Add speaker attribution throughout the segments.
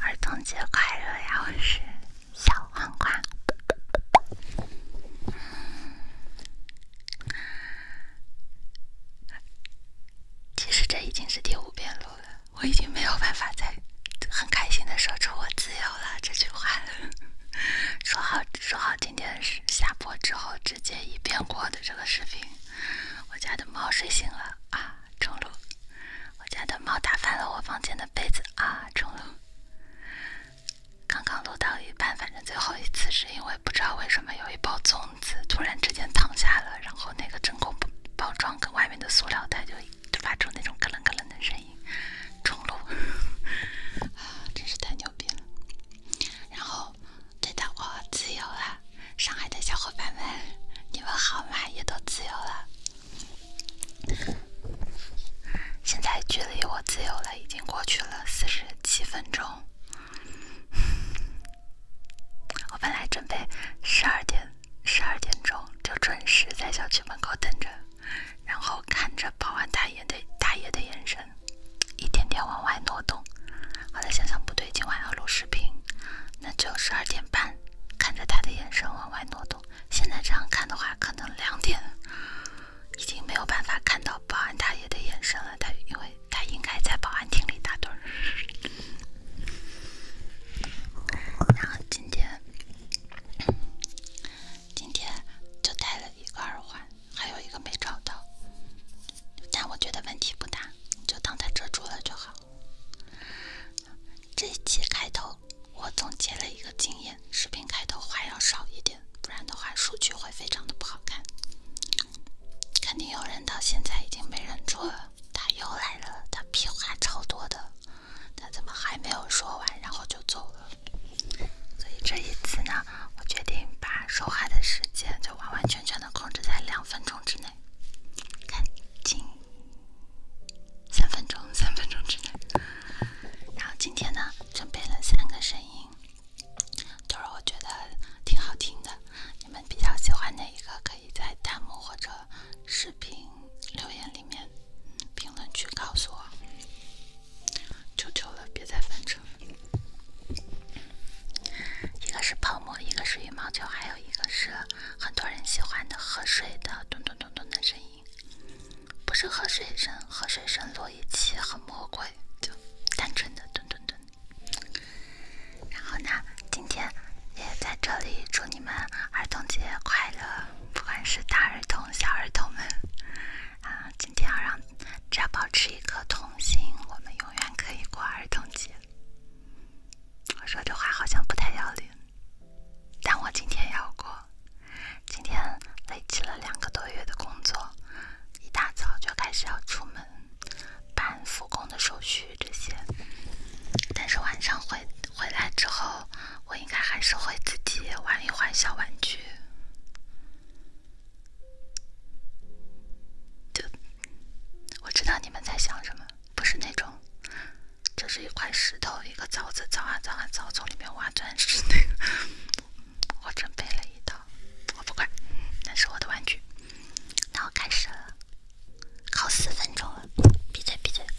Speaker 1: 儿童节快乐呀！我是小黄瓜。其实这已经是第五遍录了，我已经没有办法再很开心的说出“我自由了”这句话了。说好说好，今天是下播之后直接一遍过的这个视频。我家的猫睡醒了啊！中路，我家的猫打翻了我房间的杯子啊！中路，刚刚录到一半，反正最后一次是因为不知道为什么有一包粽子突然之间躺下了，然后那个真空包装跟外面的塑料袋就就发出那种咯楞咯楞的声音，中路 啊，真是太牛逼了！然后。对的，我自由了，上海的小伙伴们，你们好吗？也都自由了。现在距离我自由了已经过去了四十七分钟。我本来准备十二点十二点钟就准时在小区门口等着，然后看着保安大爷的大爷的眼神一点点往外挪动。后来想想不对，今晚要录视频，那就十二点半。看着他的眼神往外挪动。现在这样看的话，可能两点已经没有办法看到保安大爷的眼神了。他因为他应该在保安厅里打盹。然后今天，今天就带了一个耳环，还有一个没找到。但我觉得问题不大，就当它遮住了就好。这一期开头，我总结了一个经验：视频开头话要少一点，不然的话数据会非常的不好看。肯定有人到现在已经没忍住了，他又来了，他屁话超多的，他怎么还没有说完然后就走了？所以这一次呢，我决定把说话的时间就完完全全的控制在两分钟之内。赶紧，三分钟，三分钟之内。然后今天呢，准备了三个声音，都是我觉得挺好听的。你们比较喜欢哪一个？可以在弹幕或者视频留言里面、评论区告诉我。求求了，别再翻车。一个是泡沫，一个是羽毛球，还有一个是很多人喜欢的喝水的“咚咚咚咚”的声音，不是喝水声，喝水声落一起很魔鬼，就单纯的“咚咚咚”。然后呢，今天也在这里祝你们儿童节快乐，不管是大儿童、小儿童们啊！今天要让只要保持一颗童心，我们永远可以过儿童节。我说这话好像不太要脸，但我今天要过。今天累积了两个多月的工作，一大早就开始要出门办复工的手续这些。但是晚上回回来之后，我应该还是会自己玩一玩小玩具。我知道你们在想什么，不是那种，这是一块石头，一个凿子，凿啊凿啊凿，从里面挖钻石那个。我准备了一套，我不管，那是我的玩具。那我开始了，考四分钟了，闭嘴闭嘴。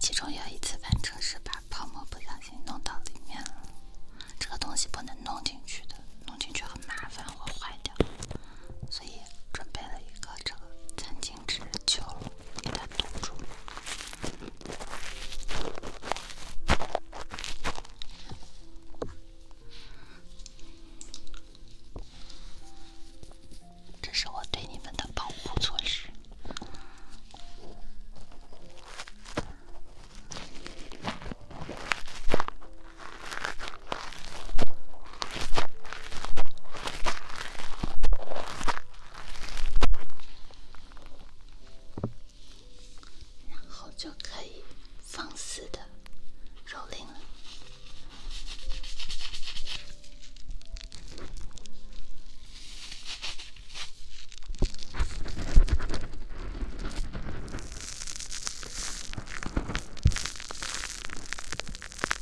Speaker 1: 其中有一次翻车是把泡沫不小心弄到里面了，这个东西不能弄进去的，弄进去很麻烦会坏掉，所以准备了一个这个餐巾。停止！就给它堵住。这是我对你们的保护措施。然后就可以放肆的蹂躏了。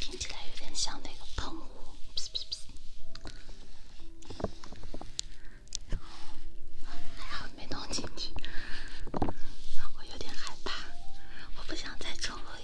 Speaker 1: 听起来有点像那个喷雾，没弄进去，我有点害怕，我不想再重录。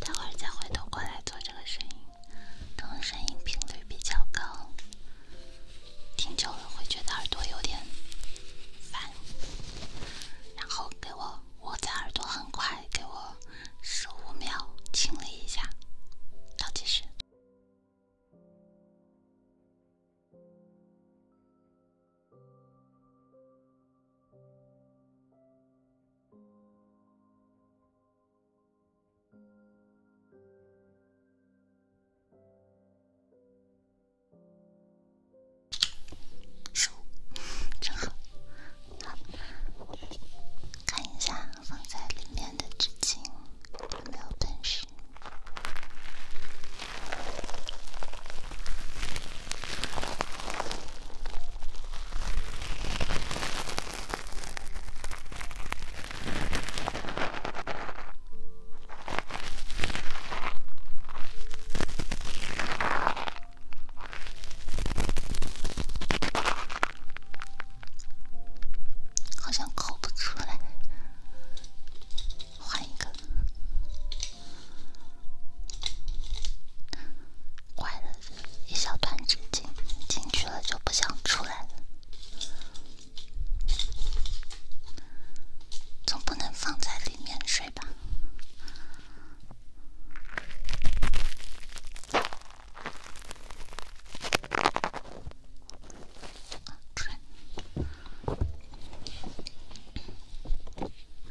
Speaker 1: 待会儿再回头过来做这个声音，可能声音频率比较高，听久了会觉得耳朵有点烦。然后给我我在耳朵很快给我十五秒清理一下，倒计时。十五，正好。好，看一下放在里面的纸巾有没有本事。好像抠不出来，换一个。坏了，一小团纸巾进去了就不想出来了，总不能放在里面睡吧？哦，睡。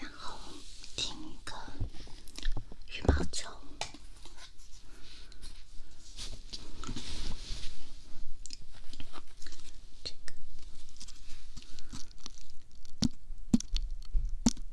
Speaker 1: 然后，听一个羽毛球。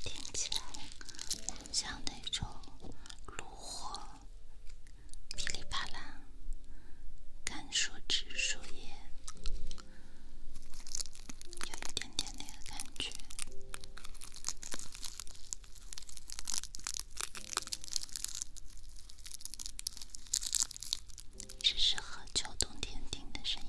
Speaker 1: 这听起来像那种炉火噼里啪啦，干树枝树叶。有一点点那个感觉，只适合秋冬天听的声音。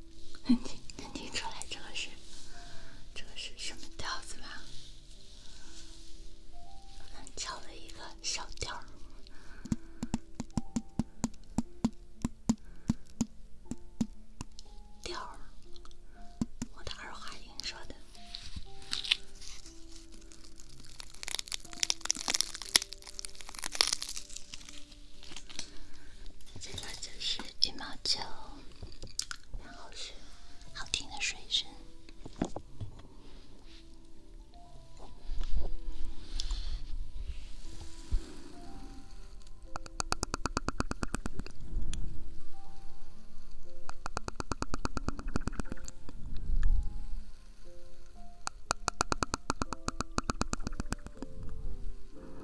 Speaker 1: 能听能听出来这个是这个是什么调子吗？很巧一个小调调我的二话音说的，这个就是。羽毛球，然后是好听的水声。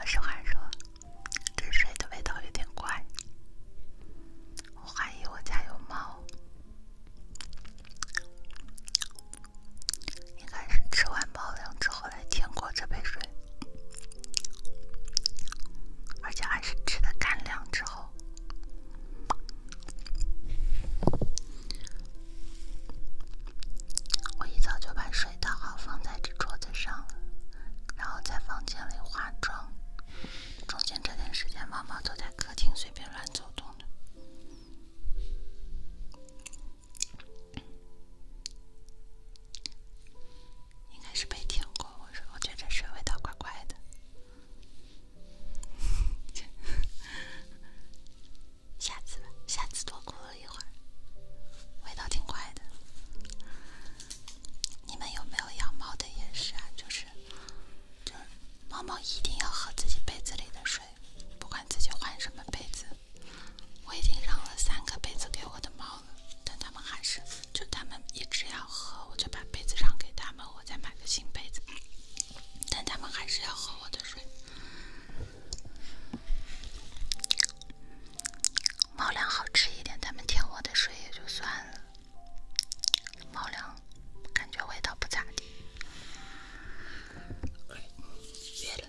Speaker 1: 我实话说，这水的味道有点怪，我怀疑我家有猫，应该是吃完猫粮之后来舔过这杯水，而且还是吃的干粮之后。我一早就把水倒好，放在这桌子上，然后在房间里化妆。中间这段时间，猫猫都在客厅随便乱走动应该是没舔过我，我觉这水味道怪怪的。下次，吧，下次多过。喝一会儿，味道挺怪的。你们有没有养猫的也是啊？就是，就是猫猫一定要喝自己杯子里的水，不管自己换什么杯子。我已经让了三个杯子给我的猫了，但它们还是就它们一直要喝，我就把杯子让给它们，我再买个新杯子，但它们还是要喝我的水。猫粮好吃一点，他们舔我的水也就算了。猫粮感觉味道不咋地。别了。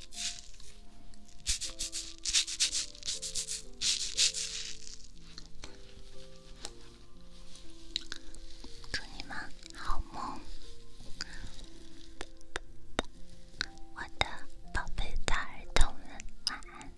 Speaker 1: 祝你们好梦，我的宝贝的儿童们，晚安。